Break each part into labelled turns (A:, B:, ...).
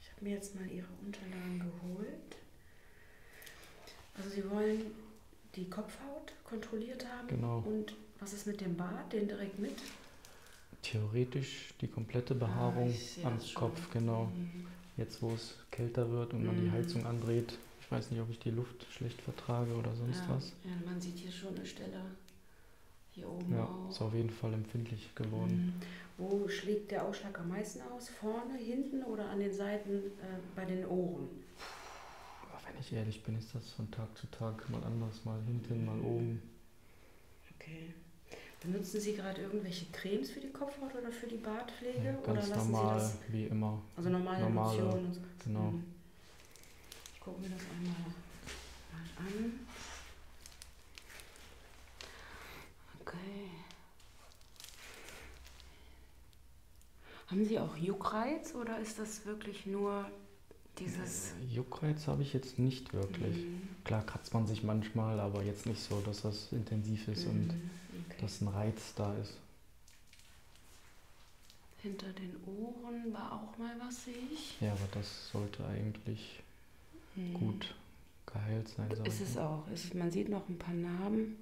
A: Ich habe mir jetzt mal ihre Unterlagen geholt. Also sie wollen die Kopfhaut kontrolliert haben. Genau. Und was ist mit dem Bart? Den direkt mit?
B: Theoretisch die komplette Behaarung ah, am Kopf, genau. Mhm. Jetzt, wo es kälter wird und man mhm. die Heizung andreht. Ich weiß nicht, ob ich die Luft schlecht vertrage oder sonst ja. was. Ja,
A: man sieht hier schon eine Stelle. Hier oben ja, auch. ist auf
B: jeden Fall empfindlich geworden.
A: Mhm. Wo schlägt der Ausschlag am meisten aus? Vorne, hinten oder an den Seiten äh, bei den Ohren?
B: wenn ich ehrlich bin, ist das von Tag zu Tag mal anders, mal hinten, mal mhm. oben.
A: Okay. Benutzen Sie gerade irgendwelche Cremes für die Kopfhaut oder für die Bartpflege? Ja, ganz oder normal, Sie das, wie immer. Also normale, normale Lotionen? Genau. Mhm. Ich gucke mir das einmal an. Okay. Haben Sie auch Juckreiz oder ist das wirklich nur dieses. Äh,
B: Juckreiz habe ich jetzt nicht wirklich. Mhm. Klar kratzt man sich manchmal, aber jetzt nicht so, dass das intensiv ist mhm. und okay. dass ein Reiz da ist.
A: Hinter den Ohren war auch mal was, sehe ich.
B: Ja, aber das sollte eigentlich hm. gut geheilt sein. Sollte. Ist es auch. Ist es, man
A: sieht noch ein paar Narben.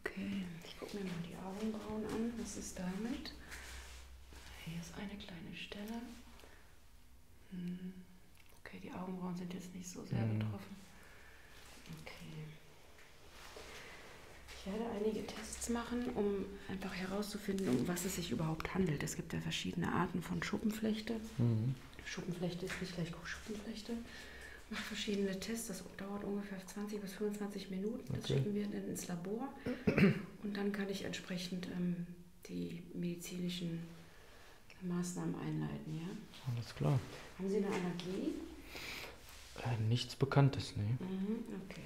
A: Okay, ich gucke mir mal die Augenbrauen an. Was ist damit? Hier ist eine kleine Stelle. Hm. Okay, die Augenbrauen sind jetzt nicht so sehr hm. betroffen. Okay. Ich werde einige Tests machen, um einfach herauszufinden, um was es sich überhaupt handelt. Es gibt ja verschiedene Arten von Schuppenflechte. Mhm. Schuppenflechte ist nicht gleich Schuppenflechte. Mache verschiedene Tests, das dauert ungefähr 20 bis 25 Minuten. Das okay. schicken wir dann ins Labor und dann kann ich entsprechend ähm, die medizinischen Maßnahmen einleiten. Ja? Alles klar. Haben Sie eine Allergie?
B: Äh, nichts Bekanntes, ne?
A: Mhm, okay.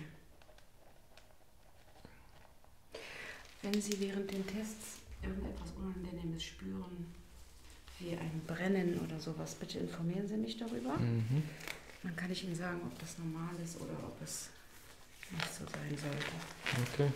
A: Wenn Sie während den Tests irgendetwas Unangenehmes spüren, wie ein Brennen oder sowas, bitte informieren Sie mich darüber. Mhm. Dann kann ich Ihnen sagen, ob das normal ist oder ob es nicht so sein sollte. Okay.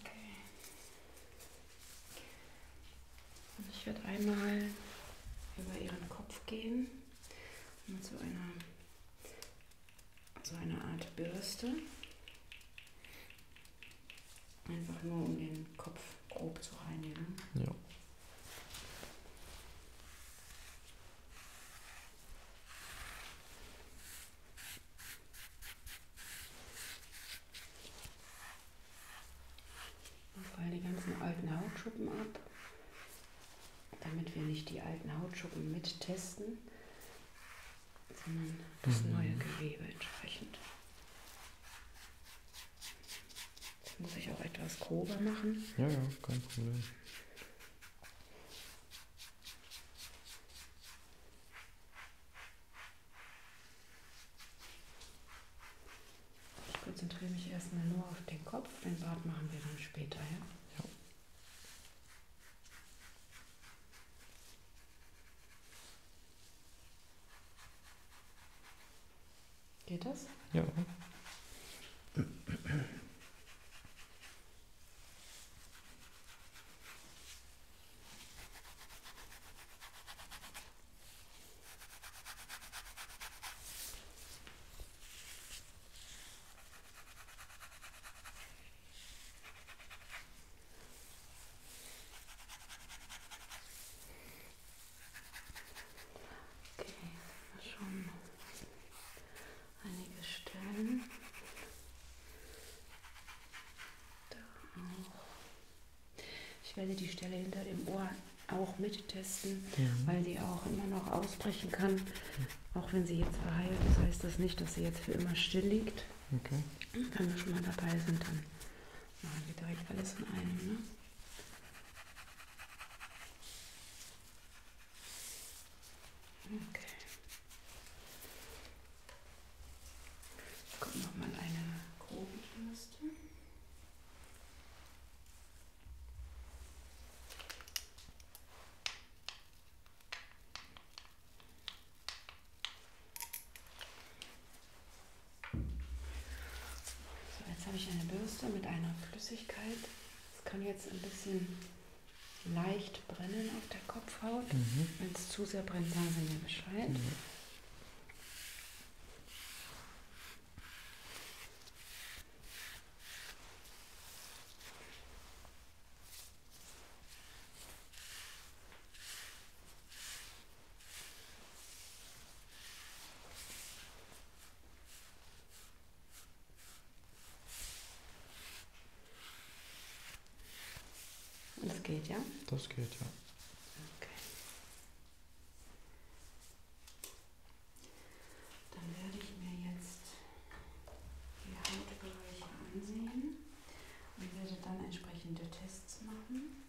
A: Okay. Also ich werde einmal über Ihren Kopf gehen mit so einer, so einer Art Bürste. Einfach nur um den Kopf grob zu reinigen. Ja. Und fall die ganzen alten Hautschuppen ab, damit wir nicht die alten Hautschuppen mittesten, sondern das mhm. neue Gewebe entsprechend. Das muss ich auch etwas grober machen.
B: Ja, ja, kein Problem.
A: Ich konzentriere mich erstmal nur auf den Kopf, den Bart machen wir dann später, ja? Ja.
B: Geht das? Ja.
A: Okay, schon einige Stellen. Da auch. Ich werde die Stelle hinter dem Ohr auch mittesten, ja. weil die auch immer noch ausbrechen kann. Auch wenn sie jetzt verheilt ist, heißt das nicht, dass sie jetzt für immer still liegt. Okay. Wenn wir schon mal dabei sind, dann machen wir direkt alles in einem. Ne? Okay. Kommt nochmal eine grobe Bürste. So, jetzt habe ich eine Bürste mit einer Flüssigkeit. Das kann jetzt ein bisschen leicht brennen auf der Kopfhaut. Mhm. Wenn es zu sehr brennt, sagen Sie mir Bescheid. Mhm. Das geht, ja? Das
B: geht, ja. Okay.
A: Dann werde ich mir jetzt die Hautbereiche ansehen und werde dann entsprechende Tests machen.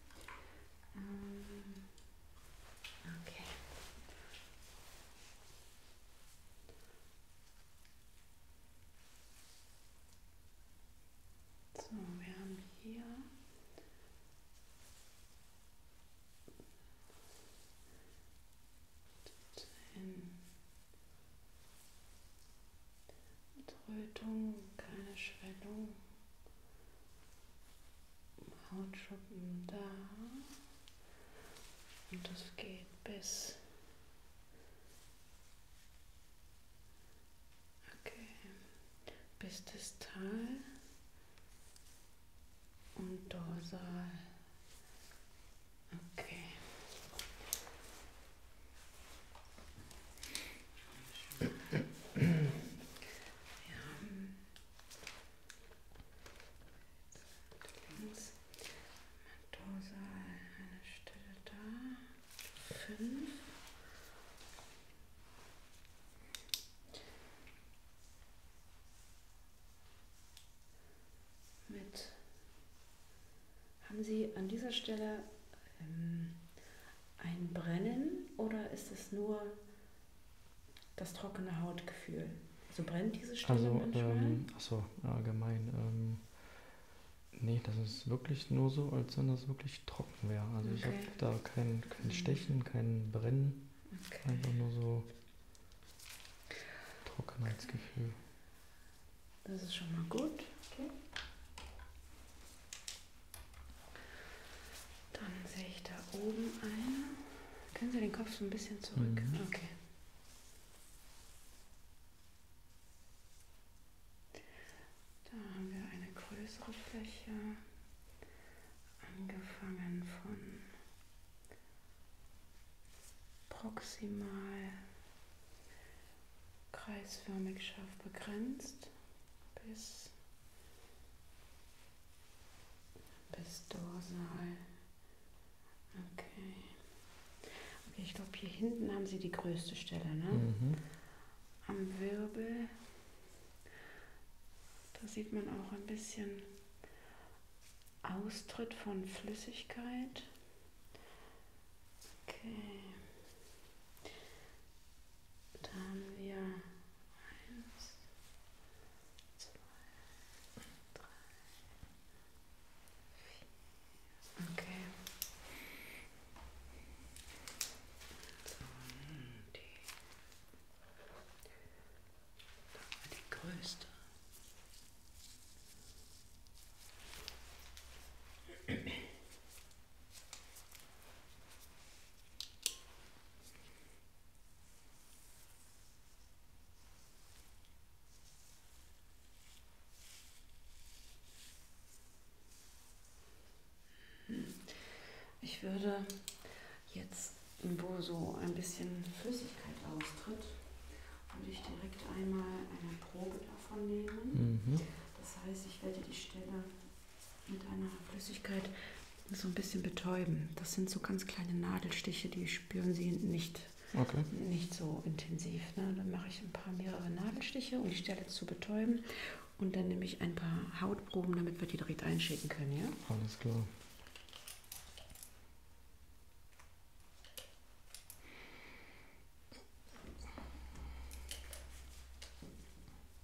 A: Okay. So, wir haben hier in Rötung, keine Schwellung. Hautschuppen da. Und das geht bis. Okay. Bis das Tal und Dorsal. Okay. Ja. Links. Mendoza, eine Stelle da. Fünf. Mit haben Sie an dieser Stelle ähm, ein Brennen oder ist es nur das trockene Hautgefühl. So also brennt diese Stelle also, manchmal? Ähm,
B: achso, allgemein. Ähm, nee, das ist wirklich nur so, als wenn das wirklich trocken wäre. Also okay. ich habe da kein, kein Stechen, kein Brennen. Okay. Einfach nur so Trockenheitsgefühl.
A: Das ist schon mal gut. Okay. Dann sehe ich da oben eine. Können Sie den Kopf so ein bisschen zurück? Mhm. Okay. Da haben wir eine größere Fläche, angefangen von proximal kreisförmig scharf begrenzt bis bis dorsal. Okay. okay ich glaube, hier hinten haben Sie die größte Stelle, ne? Mhm. Am Wirbel. Da sieht man auch ein bisschen Austritt von Flüssigkeit. Okay. Da haben wir Eins, zwei, drei, vier. Okay. So, die, die größte. Ich würde jetzt, wo so ein bisschen Flüssigkeit austritt, würde ich direkt einmal eine Probe davon nehmen. Mhm. Das heißt, ich werde die Stelle mit einer Flüssigkeit so ein bisschen betäuben. Das sind so ganz kleine Nadelstiche, die spüren Sie nicht, okay. nicht so intensiv. Ne? Dann mache ich ein paar mehrere Nadelstiche, um die Stelle zu betäuben. Und dann nehme ich ein paar Hautproben, damit wir die direkt einschicken können. Ja? Alles klar.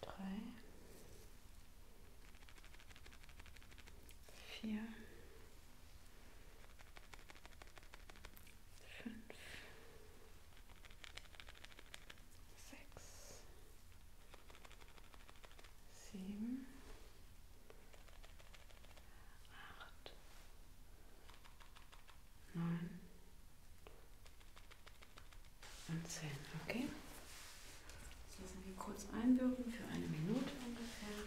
A: drei, vier, fünf, sechs, sieben, acht, neun und zehn. Okay. Das lassen wir kurz einwirken für eine Minute ungefähr.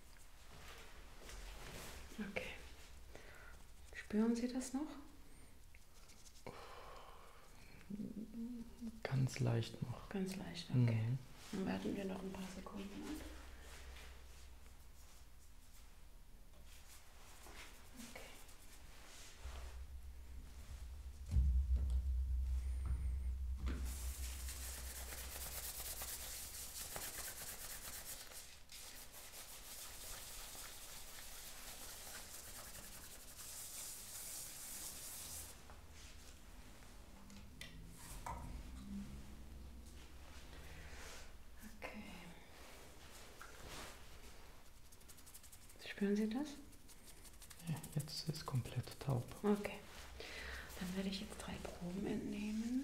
A: Okay. Spüren Sie das noch?
B: Ganz leicht noch.
A: Ganz leicht, okay. Mhm. Dann warten wir noch ein paar Sekunden ab. Okay. Okay. Spüren Sie das?
B: Ja, jetzt ist komplett taub.
A: Okay. Dann werde ich jetzt drei Proben entnehmen.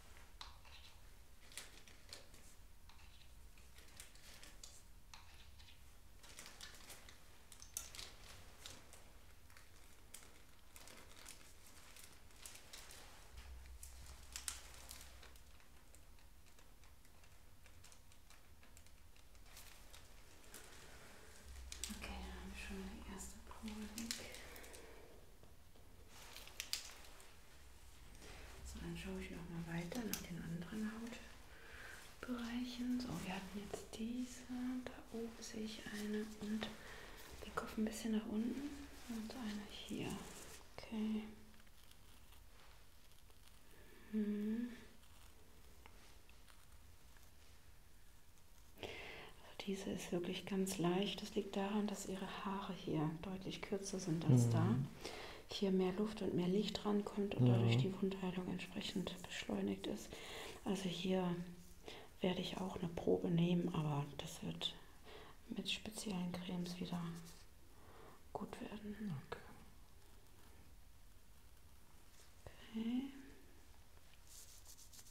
A: Okay, dann habe ich schon die erste Probe weg. So, dann schaue ich nochmal weiter nach den anderen Hautbereichen. So, wir hatten jetzt diese, da oben sehe ich eine und den Kopf ein bisschen nach unten und eine hier. Okay. Hm. Also diese ist wirklich ganz leicht. Das liegt daran, dass ihre Haare hier deutlich kürzer sind als mhm. da. Hier mehr Luft und mehr Licht rankommt und ja. dadurch die Wundheilung entsprechend beschleunigt ist. Also hier werde ich auch eine Probe nehmen, aber das wird mit speziellen Cremes wieder gut werden. Okay. Okay.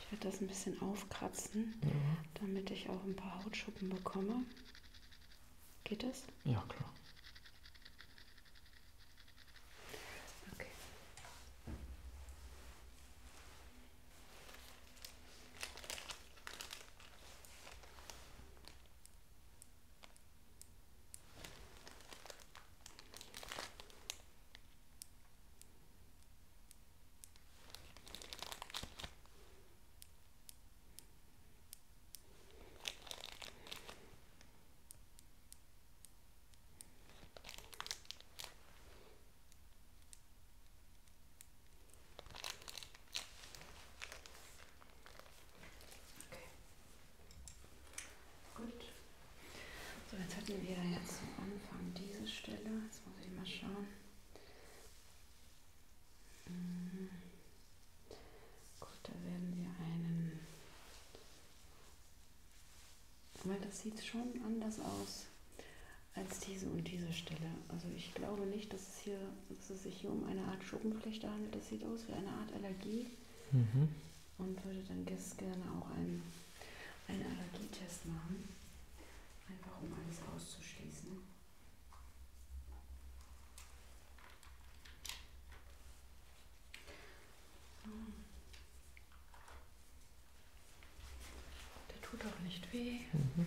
A: Ich werde das ein bisschen aufkratzen, ja. damit ich auch ein paar Hautschuppen bekomme. Geht das?
B: Ja, klar. Okay.
A: Gut. So, jetzt hatten wir jetzt am Anfang diese Stelle, Jetzt muss ich mal schauen. Mhm. Gut, da werden wir einen. Weil das sieht schon anders aus als diese und diese Stelle. Also ich glaube nicht, dass es, hier, dass es sich hier um eine Art Schuppenflechte handelt. Das sieht aus wie eine Art Allergie. Mhm. Und würde dann gerne auch einen, einen Allergietest machen einfach um alles auszuschließen. Hm. Der tut auch nicht weh. Mhm.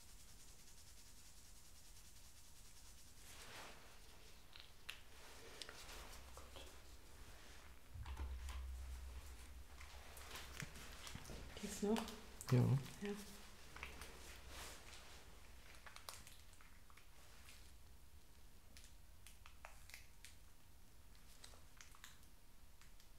A: Geht's noch? Ja. ja.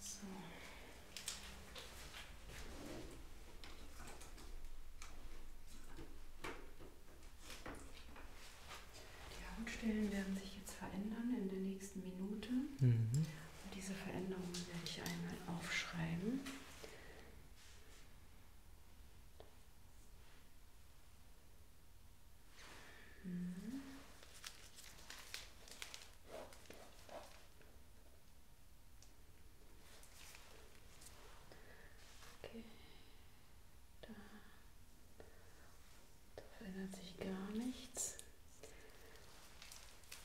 B: So. Die Hautstellen werden sich jetzt verändern in der nächsten Minute. Mhm. Und diese Veränderungen werde ich einmal aufschreiben. Mhm.
A: Okay. Da. da verändert sich gar nichts.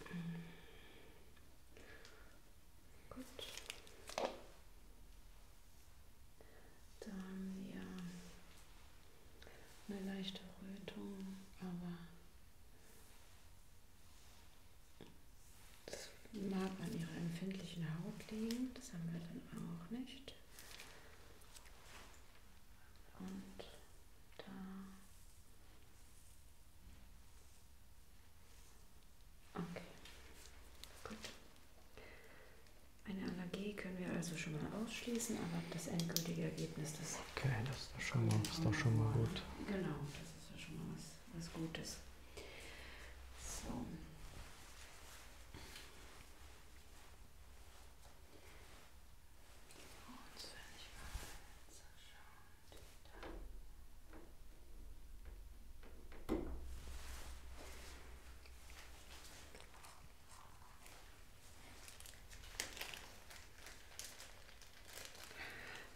A: Hm. Gut. Dann ja eine leichte Rötung, aber das mag an ihrer empfindlichen Haut liegen, das haben wir dann auch nicht. Und da. Okay, gut. Eine Allergie können wir also schon mal ausschließen, aber das endgültige Ergebnis, das Okay, das ist doch schon mal, ist doch schon mal gut. Genau, das ist ja schon mal was, was Gutes. So.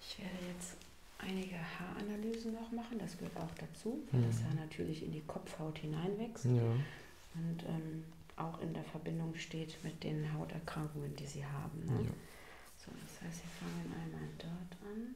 A: Ich werde jetzt einige Haaranalysen noch machen, das gehört auch dazu, weil mhm. das Haar natürlich in die Kopfhaut hineinwächst ja. und ähm, auch in der Verbindung steht mit den Hauterkrankungen, die sie haben. Ne? Ja. So, das heißt, wir fangen einmal dort an.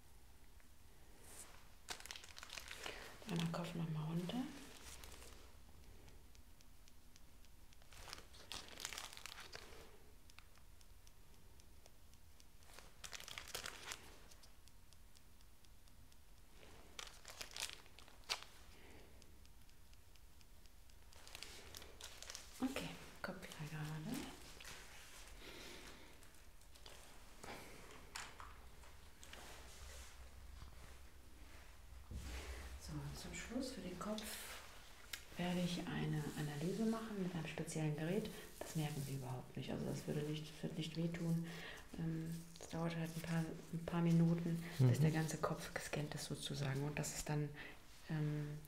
A: Einmal Kopf nochmal runter. Okay, Kopf gerade. So, zum Schluss für den Kopf werde ich eine Analyse machen mit einem speziellen Gerät. Das merken Sie überhaupt nicht. Also das würde nicht, das wird nicht wehtun. Es ähm, dauert halt ein paar, ein paar Minuten, mhm. bis der ganze Kopf gescannt ist sozusagen. Und das ist dann ähm,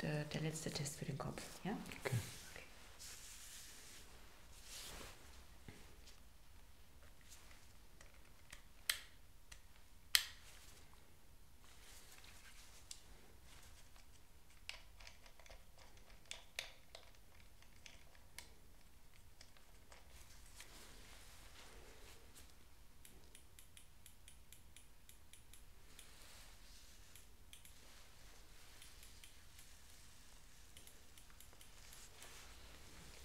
A: der, der letzte Test für den Kopf. Ja? Okay. okay.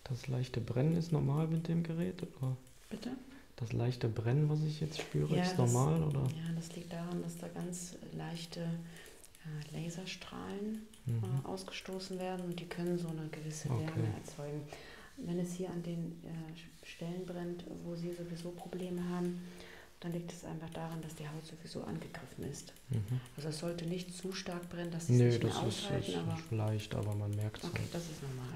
B: Das leichte Brennen ist normal mit dem Gerät? Oder? Bitte? Das leichte Brennen, was ich jetzt spüre, ja, ist normal? Das, oder?
A: Ja, das liegt daran, dass da ganz leichte äh, Laserstrahlen mhm. äh, ausgestoßen werden und die können so eine gewisse Wärme okay. erzeugen. Wenn es hier an den äh, Stellen brennt, wo Sie sowieso Probleme haben, dann liegt es einfach daran, dass die Haut sowieso angegriffen ist. Mhm. Also es sollte nicht zu stark brennen, dass sie nee, nicht das mehr ist, aushalten. Nee, das ist leicht, aber man merkt es Okay, halt. das ist normal.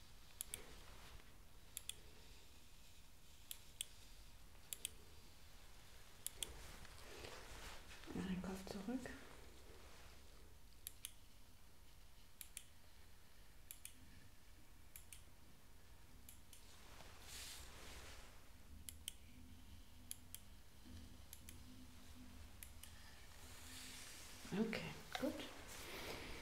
A: Mach den Kopf zurück. Okay, gut.